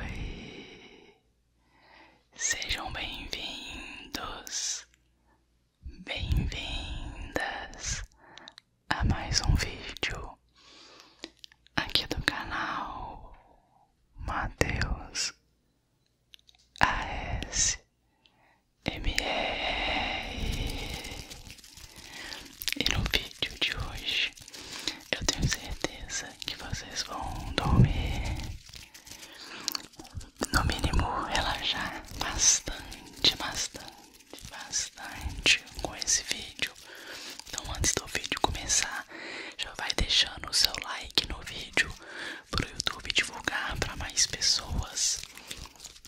Oi, sejam bem-vindos, bem-vindas a mais um vídeo aqui do canal Mateus AS. E no vídeo de hoje eu tenho certeza que vocês vão dormir, no mínimo relaxar bastante, bastante, bastante com esse vídeo. Então antes do vídeo começar, já vai deixando o seu like no vídeo para o YouTube divulgar para mais pessoas.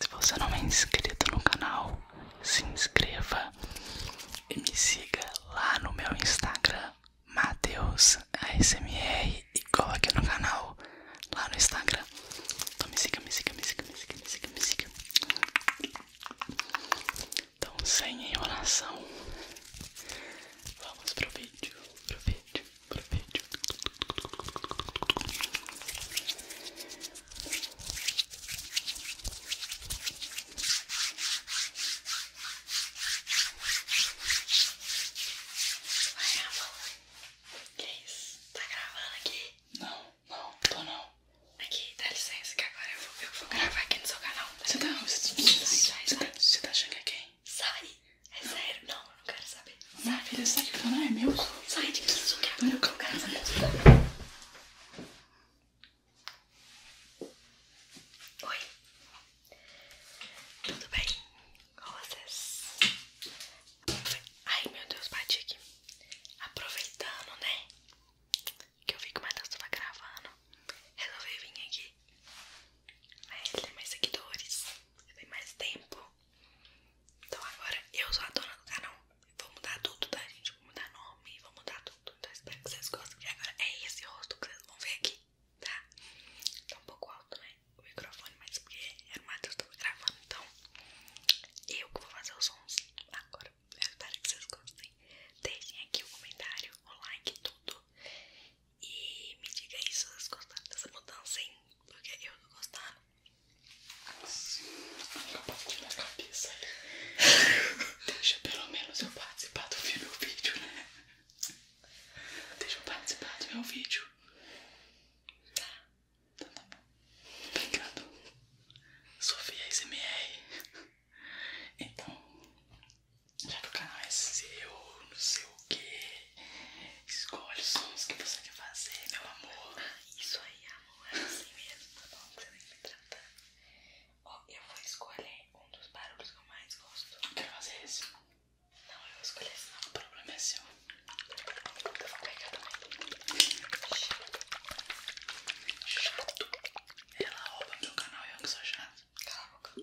Se você não é inscrito no canal, se inscreva e me siga lá no meu Instagram, Mateus e igual aqui no canal, lá no Instagram. Então me siga, me siga, me siga, me siga, me siga, Então sem enrolação, vamos pro vídeo, pro vídeo para vídeo. Vai, amor. Que isso? Tá gravando aqui? Não, não, tô não. Aqui, dá licença que agora eu vou, ver eu vou gravar aqui no seu canal. Você tá, você, tá, você, você, tá, você, você tá achando que é quem? Sai! É sério, não, não quero saber. Minha filha, sai que não é meu. Sai de que isso que agora eu não quero saber. Oi. Tudo bem? Com vocês? Ai, meu Deus, bati aqui. Aproveitando, né? Que eu vi que o Matheus tava gravando. Resolvi vir aqui. Mas tem mais seguidores. Tem mais tempo. Então agora eu sou a dona do canal. Vou mudar tudo, tá, gente? Vou mudar nome, vou mudar tudo. Então espero que vocês gostem. E agora é esse rosto que vocês vão ver aqui, tá? Tá um pouco alto, né? O microfone, mas porque era o Matheus que tava gravando, então eu que vou fazer os sons agora. espero que vocês gostem. Deixem aqui o comentário, o like, tudo. E me diga aí se vocês gostaram dessa mudança, hein? Porque eu tô gostando. Compartilha a cabeça. Deixa pelo menos eu participar do meu vídeo, né? Deixa eu participar do meu vídeo. Tá. Então tá bom. Obrigado. Sofia SMR. Então, já que o canal é seu, não sei o que. Escolhe os sons que você quer fazer, meu amor. isso aí, amor. É assim mesmo, tá bom? Que você tem que me tratar. Ó, eu vou escolher um dos barulhos que eu mais gosto. Quer fazer esse. Não, eu vou escolher esse. o problema é seu. Eu vou pegar também. Chato. Chato. Ela rouba meu canal e eu que sou chato. Cala a boca.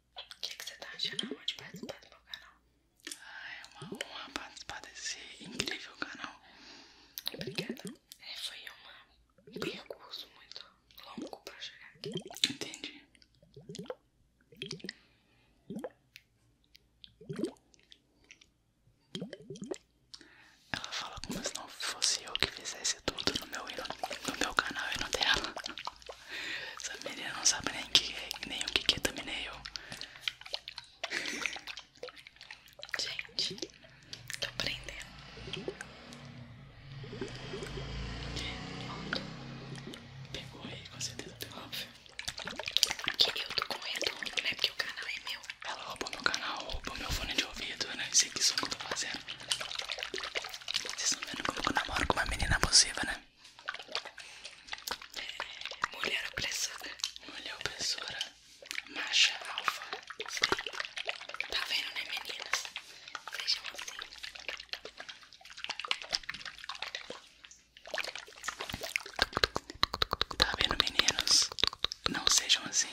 O que, você tá achando de participar do meu canal? Ah, é uma honra participar desse incrível canal. Obrigada. É, foi um percurso muito longo pra chegar aqui. Entendi. Ela fala como se não fosse eu que fizesse tudo no meu, no meu canal e no dela. Essa menina não sabe nem, que, é, nem o que, que é eu. Gente, tô aprendendo. Pegou aí, com certeza pegou. Óbvio. Que eu tô com retorno, né? Porque o canal é meu. Ela roubou meu canal, roubou meu fone de ouvido, né? Isso aqui só que eu tô fazendo. Vocês estão vendo como eu namoro com uma menina abusiva, né? Mulher opressora. Mulher opressora. Macha alfa. Tá vendo, né, meninas? Sejam assim. Tá vendo, meninos? Não sejam assim.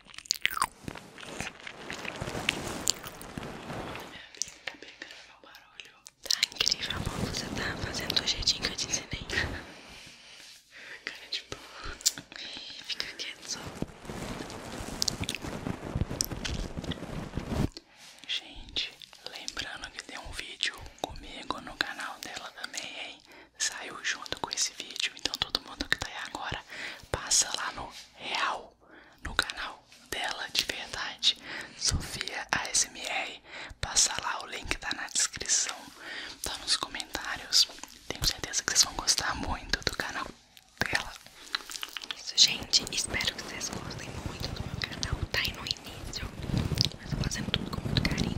Tá pegando meu barulho. Tá incrível, amor. Você tá fazendo do jeitinho que eu te ensinei. Cara de pau. Fica quieto só. Gente, lembrando que tem um vídeo comigo no canal dela também, hein? saiu junto com esse vídeo, então todo mundo que tá aí agora passa lá no real, no canal dela de verdade, Sofia ASMR, passa lá, o link tá na descrição, tá nos comentários, tenho certeza que vocês vão gostar muito do canal dela. Isso, gente, espero que vocês gostem muito do meu canal, tá aí no início, mas eu tô fazendo tudo com muito carinho,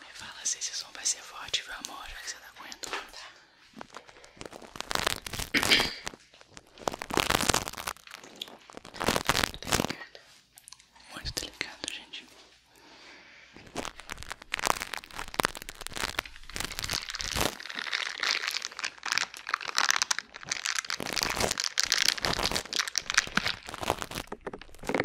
Me fala se esse som vai ser forte, viu amor? Já que você tá comendo, tá? Delicado. Muito delicado, gente.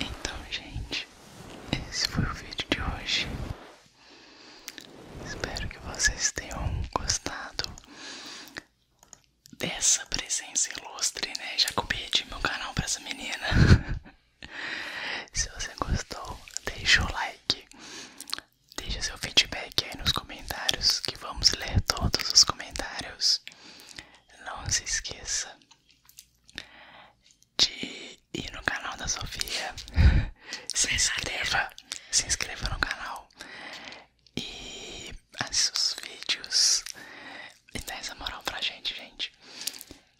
Então, gente, esse foi o vídeo de hoje. Espero que vocês tenham gostado dessa presença ilustre, né? Já copiei de meu canal para essa menina. Se você gostou, deixa o like, deixa seu feedback aí nos comentários, que vamos ler todos os comentários. Não se esqueça de ir no canal da Sofia, se inscreva, se inscreva no canal e assista os vídeos e dá essa moral pra gente, gente.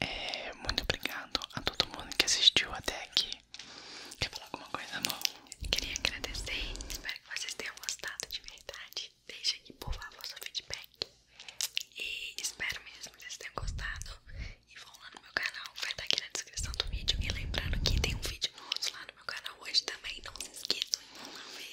É, muito obrigado a todo mundo que assistiu até aqui. Quer falar alguma coisa, amor? Queria agradecer. Espero que vocês tenham gostado de verdade. Deixa aqui, por favor, seu feedback. E espero mesmo que vocês tenham gostado. E vão lá no meu canal, vai estar tá aqui na descrição do vídeo. E lembrando que tem um vídeo nosso lá no meu canal hoje também. Não se esqueçam, vão lá ver.